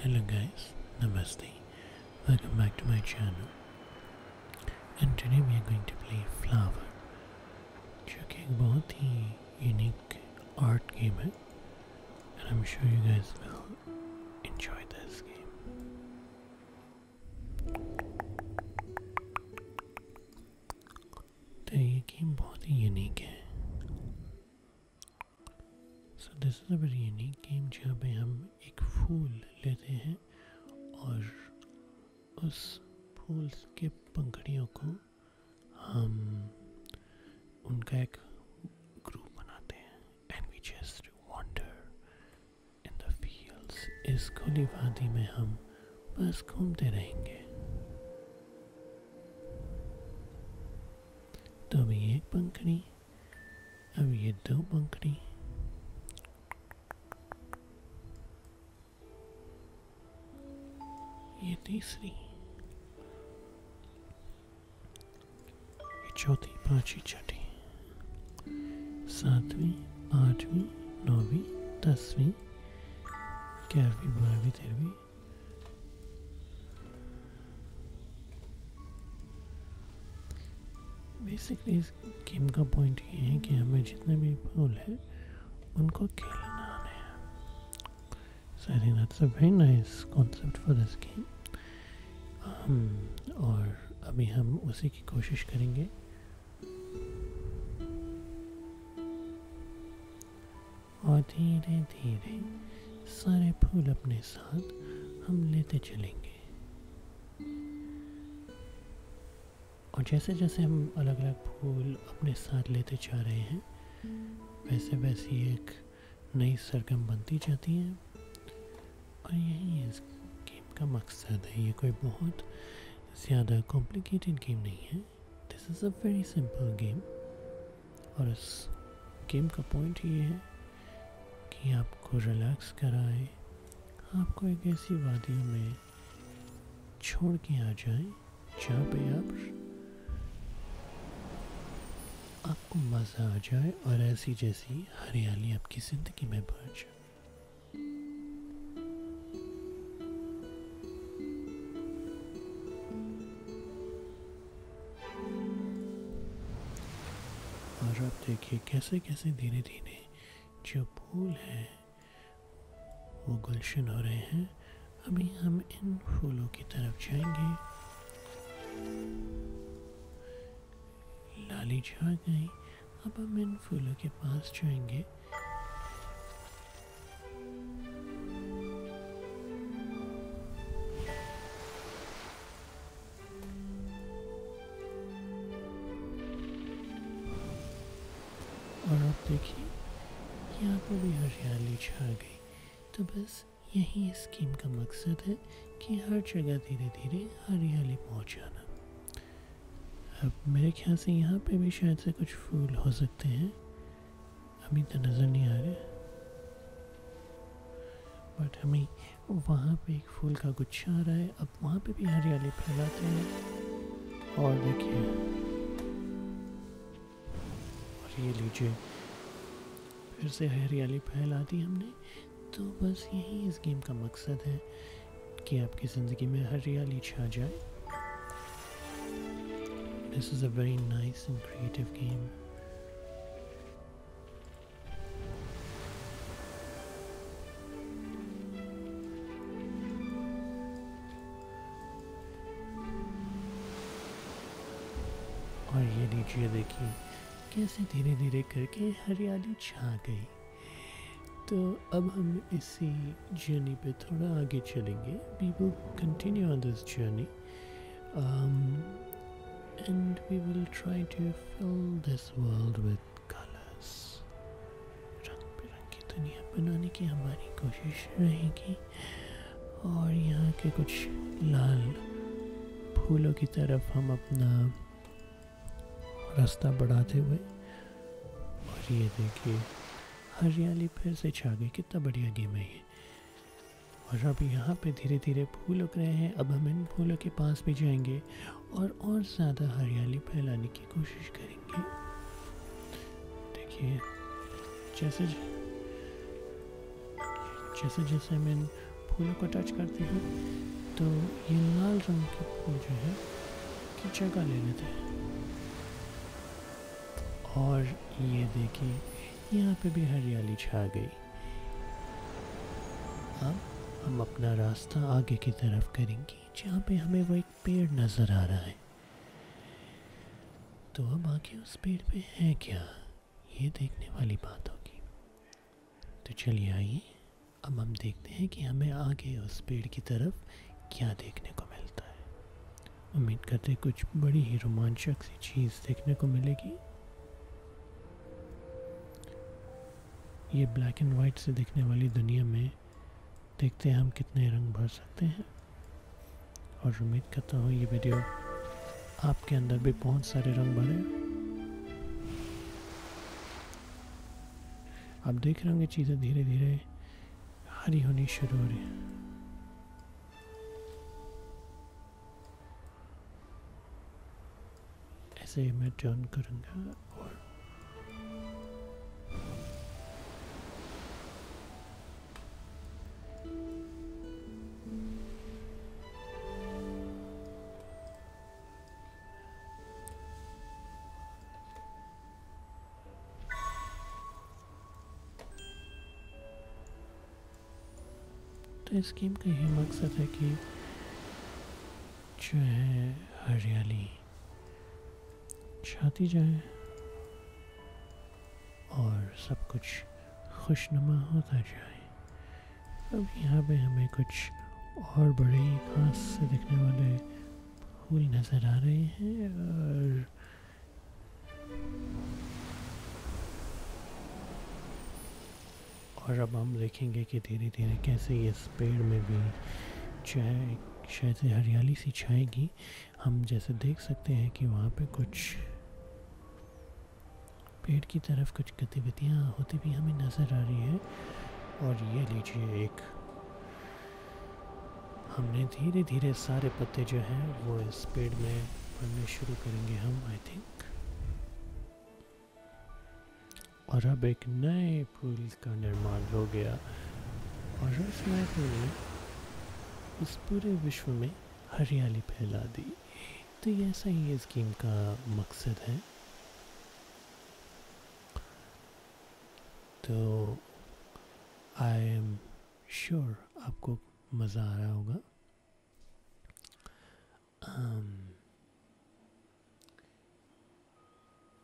Hello guys, Namaste, welcome back to my channel and today we are going to play Flower जो कि एक बहुत ही unique art and I'm sure you guys will enjoy this game. तो ये game बहुत ही unique है so this is a very unique game जहाँ पे हम एक फूल लेते हैं और उस फूल के पंखड़ियों को हम उनका एक ग्रुप बनाते हैं and we just wander in the fields इस खुली वादी में हम बस घूमते रहेंगे तो अभी एक पंखड़ी अब ये दो पंखड़ी ये तीसरी ये चौथी पांचवी छठी सातवीं आठवीं नौवीं दसवीं ग्यारहवीं बारहवीं तेरहवीं बेसिकली इस गेम का पॉइंट ये है कि हमें जितने भी फूल हैं उनको खेलना आने So I think that's a very nice concept for this game. Um, और अभी हम उसी की कोशिश करेंगे और धीरे धीरे सारे फूल अपने साथ हम लेते चलेंगे और जैसे जैसे हम अलग अलग फूल अपने साथ लेते जा रहे हैं वैसे वैसे एक नई सरगम बनती जाती है और यही इस गेम का मकसद है ये कोई बहुत ज़्यादा कॉम्प्लिकेटेड गेम नहीं है this is a very simple game और इस गेम का पॉइंट ये है कि आपको रिलैक्स कराए आपको एक ऐसी वादियों में छोड़ के आ जाए जहाँ आप आपको मज़ा आ जाए और ऐसी जैसी हरियाली आपकी ज़िंदगी में बढ़ जाए और आप देखिए कैसे कैसे धीरे धीरे जो फूल हैं वो गुलशन हो रहे हैं अभी हम इन फूलों की तरफ जाएंगे लाली छा गई अब हम इन फूलों के पास जाएंगे और आप देखिए यहाँ पर भी हरियाली छा गई तो बस यही इस स्कीम का मकसद है कि हर जगह धीरे धीरे हरियाली पहुँच जाना अब मेरे ख्याल से यहाँ पे भी शायद से कुछ फूल हो सकते हैं अभी तो नज़र नहीं आ रहे बट हमें वहाँ पे एक फूल का गुच्छा आ रहा है अब वहाँ पे भी हरियाली फैलाते हैं और देखिए और ये लीजिए फिर से हरियाली फैला दी हमने तो बस यही इस गेम का मकसद है कि आपकी ज़िंदगी में हरियाली छा जाए this is a very nice and creative game और ये नीचे देखिए कैसे धीरे धीरे करके हरियाली छा गई तो अब हम इसी जर्नी पे थोड़ा आगे चलेंगे we will continue on this journey and we will try to fill this world with colors रंग बिरंगी दुनिया बनाने की हमारी कोशिश रहेगी और यहाँ के कुछ लाल फूलों की तरफ हम अपना रास्ता बढ़ाते हुए और ये देखिए हरियाली फिर से छा गई कितना बढ़िया गेम है ये और अब यहाँ पे धीरे धीरे फूल उग रहे हैं अब हम इन फूलों के पास भी जाएंगे और और ज़्यादा हरियाली फैलाने की कोशिश करेंगे देखिए जैसे जैसे जैसे मैं फूलों को टच करती हूँ तो ये लाल रंग के फूल जो है कि जगह ले लेते हैं और ये देखिए यहाँ पे भी हरियाली छा गई अब हम अपना रास्ता आगे की तरफ करेंगे जहाँ पे हमें वो एक पेड़ नज़र आ रहा है तो अब आगे उस पेड़ पे है क्या ये देखने वाली बात होगी तो चलिए आइए अब हम देखते हैं कि हमें आगे उस पेड़ की तरफ क्या देखने को मिलता है उम्मीद करते कुछ बड़ी ही रोमांचक सी चीज़ देखने को मिलेगी ये ब्लैक एंड वाइट से देखने वाली दुनिया में देखते हैं हम कितने रंग भर सकते हैं और उम्मीद करता हूँ ये वीडियो आपके अंदर भी बहुत सारे रंग भरे आप देख रहे होंगे चीज़ें धीरे धीरे हरी होनी शुरू हो रही है ऐसे ही मैं टर्न करूंगा और तो इस गेम का यही मकसद है कि जो है हरियाली छाती जाए और सब कुछ खुशनुमा होता जाए अब यहाँ पे हमें कुछ और बड़े खास से दिखने वाले फूल नज़र आ रहे हैं और और अब हम देखेंगे कि धीरे धीरे कैसे इस पेड़ में भी चाय शायद से हरियाली सी छाएगी हम जैसे देख सकते हैं कि वहाँ पे कुछ पेड़ की तरफ कुछ गतिविधियाँ होती भी हमें नज़र आ रही है और ये लीजिए एक हमने धीरे धीरे सारे पत्ते जो हैं वो इस पेड़ में पड़ने शुरू करेंगे हम आई थिंक और अब एक नए पुल का निर्माण हो गया और उस नए पुल में इस पूरे विश्व में हरियाली फैला दी तो ये ऐसा ही इस गेम का मकसद है तो आई एम श्योर आपको मज़ा आ रहा होगा um,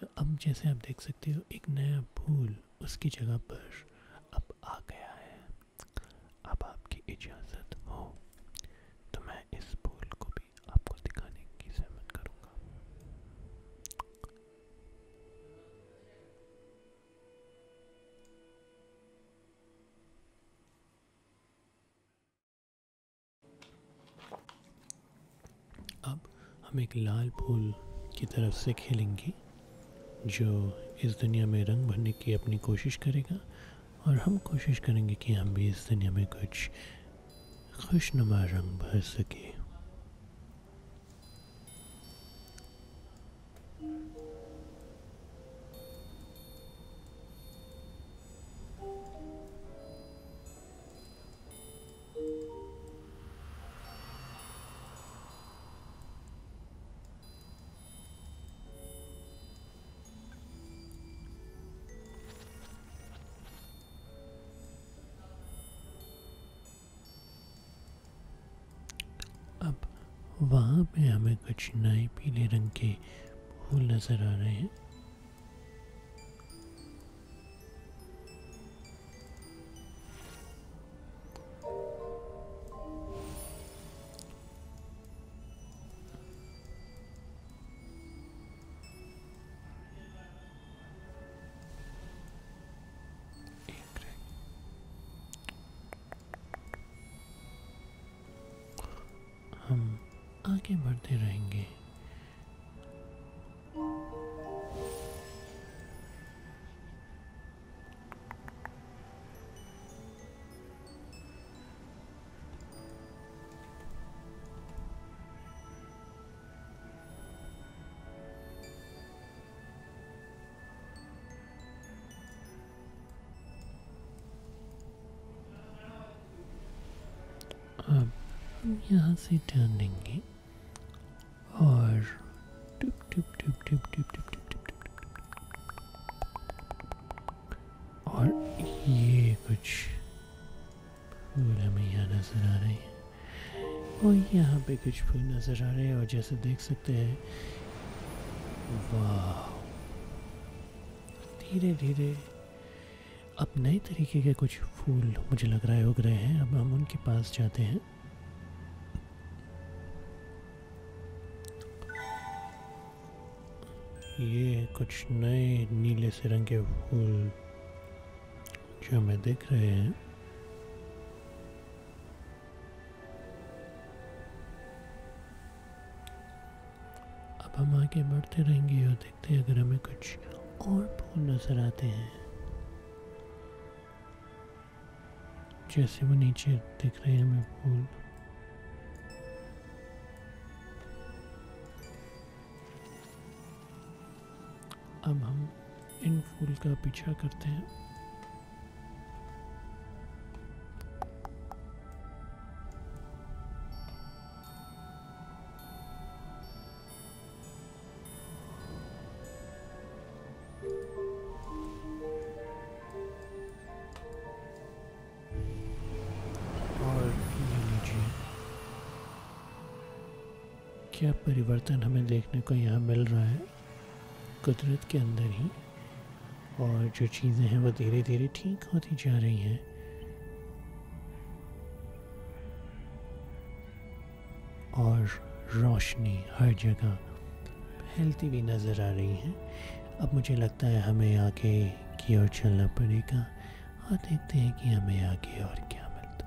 तो अब जैसे आप देख सकते हो एक नया भूल उसकी जगह पर अब आ गया है इजाज़त हो तो मैं इस दिखाने की सहमत करूँगा अब हम एक लाल फूल की तरफ से खेलेंगे जो इस दुनिया में रंग भरने की अपनी कोशिश करेगा और हम कोशिश करेंगे कि हम भी इस दुनिया में कुछ खुशनुमा रंग भर सकें अब वहाँ पे हमें कुछ नए पीले रंग के फूल नज़र आ रहे हैं हम आगे बढ़ते रहेंगे अब हम यहाँ से जानेंगे Orange. और ये कुछ फूल हमें यहाँ नजर आ रहे हैं और यहाँ पे कुछ फूल नजर आ रहे हैं और जैसे देख सकते हैं वाह धीरे धीरे अब नए तरीके के कुछ फूल मुझे लग रहा है उग रहे हैं अब हम उनके पास जाते हैं ये कुछ नए नीले से रंग के फूल जो हमें देख रहे हैं अब हम आगे बढ़ते रहेंगे और देखते हैं अगर हमें कुछ और फूल नज़र आते हैं जैसे वो नीचे दिख रहे हैं हमें फूल अब हम इन फूल का पीछा करते हैं क्या परिवर्तन हमें देखने को यहाँ मिल रहा है कुदरत के अंदर ही और जो चीज़ें हैं वो धीरे धीरे ठीक होती जा रही हैं और रोशनी हर जगह फैलती हुई नज़र आ रही है अब मुझे लगता है हमें आगे की ओर चलना पड़ेगा और देखते हैं कि हमें आगे और क्या मिलता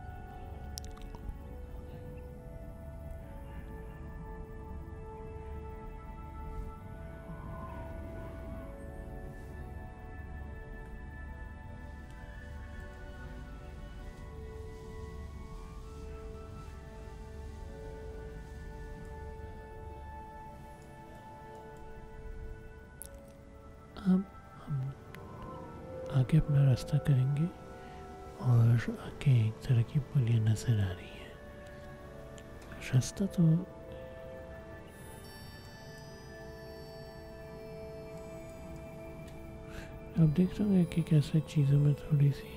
अब हम आगे अपना रास्ता करेंगे और आगे एक तरह की पुलिया नज़र आ रही है रास्ता तो आप देख रहे होंगे कि कैसे चीज़ों में थोड़ी सी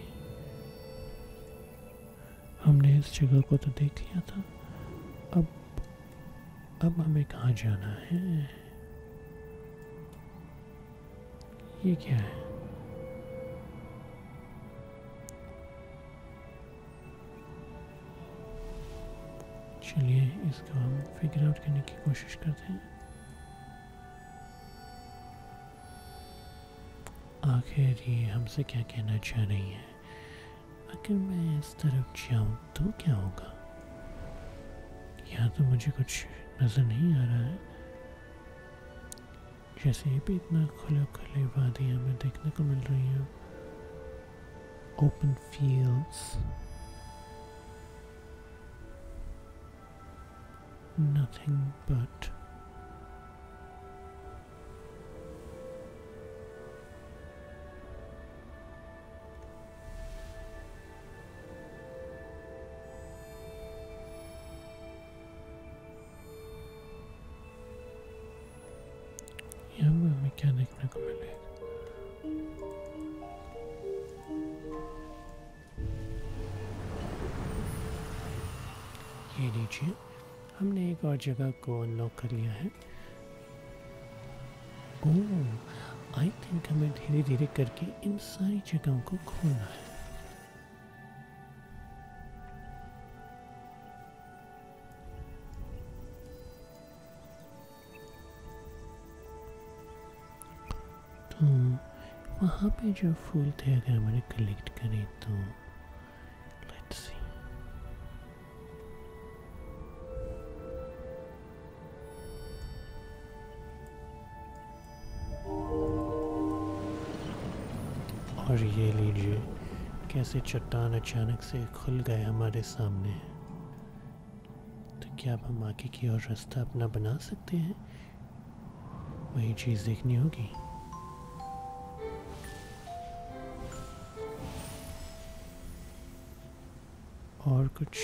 हमने इस जगह को तो देख लिया था अब अब हमें कहाँ जाना है ये क्या है चलिए इसको हम फिगर आउट करने की कोशिश करते हैं आखिर ये हमसे क्या कहना चाह रही है अगर मैं इस तरफ जाऊं तो क्या होगा यहाँ तो मुझे कुछ नज़र नहीं आ रहा है जैसे ये भी इतना खुले खुले वादी हमें देखने को मिल रही है open fields nothing but yeah, we mechanic recommended. ये लीजिए हमने एक और जगह को अनलॉक कर लिया है आई थिंक हमें धीरे धीरे करके इन सारी जगहों को खोलना है तो वहाँ पे जो फूल थे अगर मैंने कलेक्ट करें तो लेट्स सी और ये लीजिए कैसे चट्टान अचानक से खुल गए हमारे सामने तो क्या आप हम आगे की ओर रास्ता अपना बना सकते हैं वही चीज़ देखनी होगी और कुछ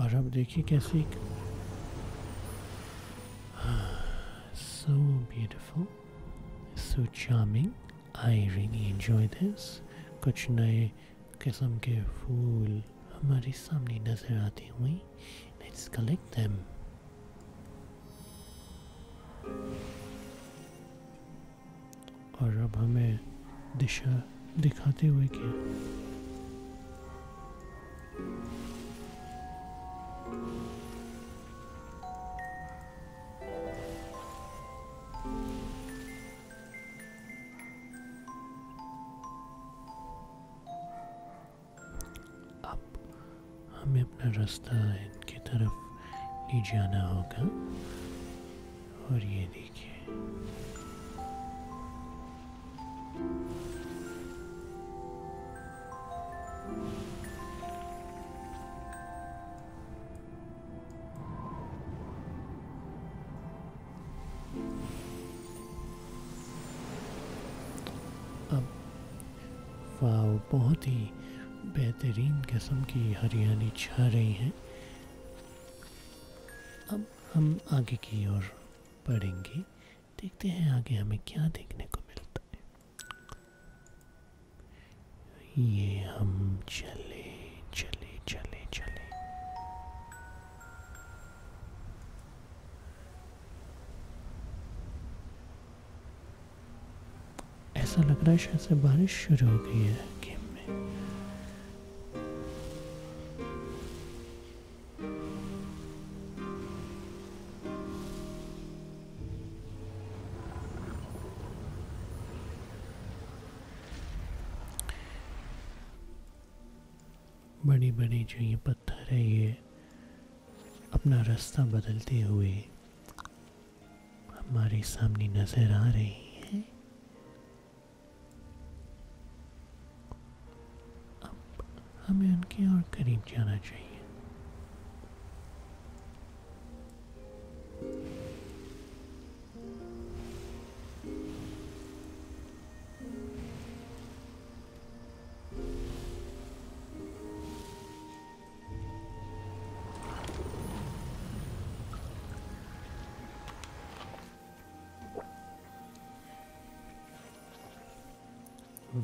और अब देखिए कैसे so beautiful so charming I really enjoy this कुछ नए किस्म के फूल हमारे सामने नजर आती हुई लेट्स कलेक्ट देम और अब हमें दिशा दिखाते हुए क्या अब हमें अपना रास्ता इनकी तरफ नीचे आना होगा और ये देखिए अब वाव बहुत ही बेहतरीन किस्म की हरियाली छा रही है अब हम आगे की ओर बढ़ेंगे देखते हैं आगे हमें क्या देखने को मिलता है ये हम चले चले चले चले ऐसा लग रहा है शायद से बारिश शुरू हो गई है गेम में बड़ी बड़ी जो ये पत्थर है ये अपना रास्ता बदलते हुए हमारे सामने नजर आ रही है अब हमें उनके और करीब जाना चाहिए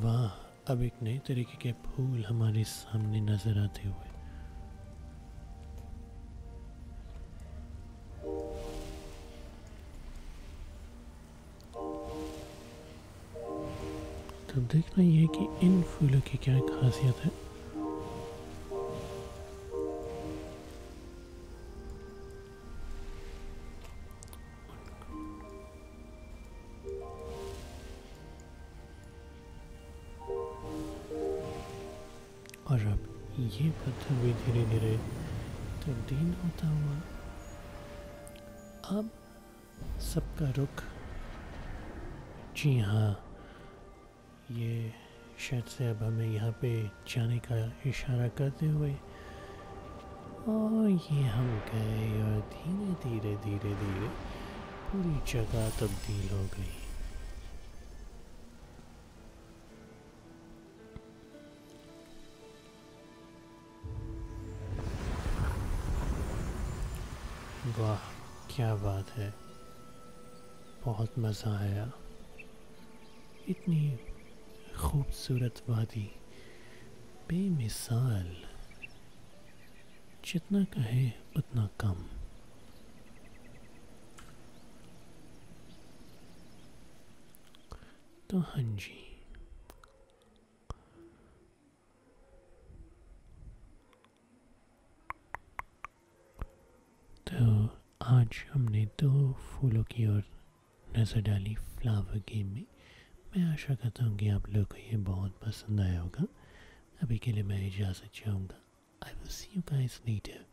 वाह अब एक नए तरीके के फूल हमारे सामने नजर आते हुए तब देखना यह कि इन फूलों की क्या खासियत है और अब ये पत्थर भी धीरे धीरे तो होता हुआ अब सबका रुख जी हाँ ये शायद से अब हमें यहाँ पे जाने का इशारा करते हुए और ये हम गए और धीरे धीरे धीरे धीरे पूरी जगह तब्दील हो गई वाह क्या बात है बहुत मज़ा आया इतनी खूबसूरत वादी बेमिसाल जितना कहे उतना कम तो हाँ जी तो आज हमने दो फूलों की ओर नज़र डाली फ्लावर गेम में मैं आशा करता हूँ कि आप लोग को ये बहुत पसंद आया होगा अभी के लिए मैं इजाज़त चाहूँगा I will see you guys letter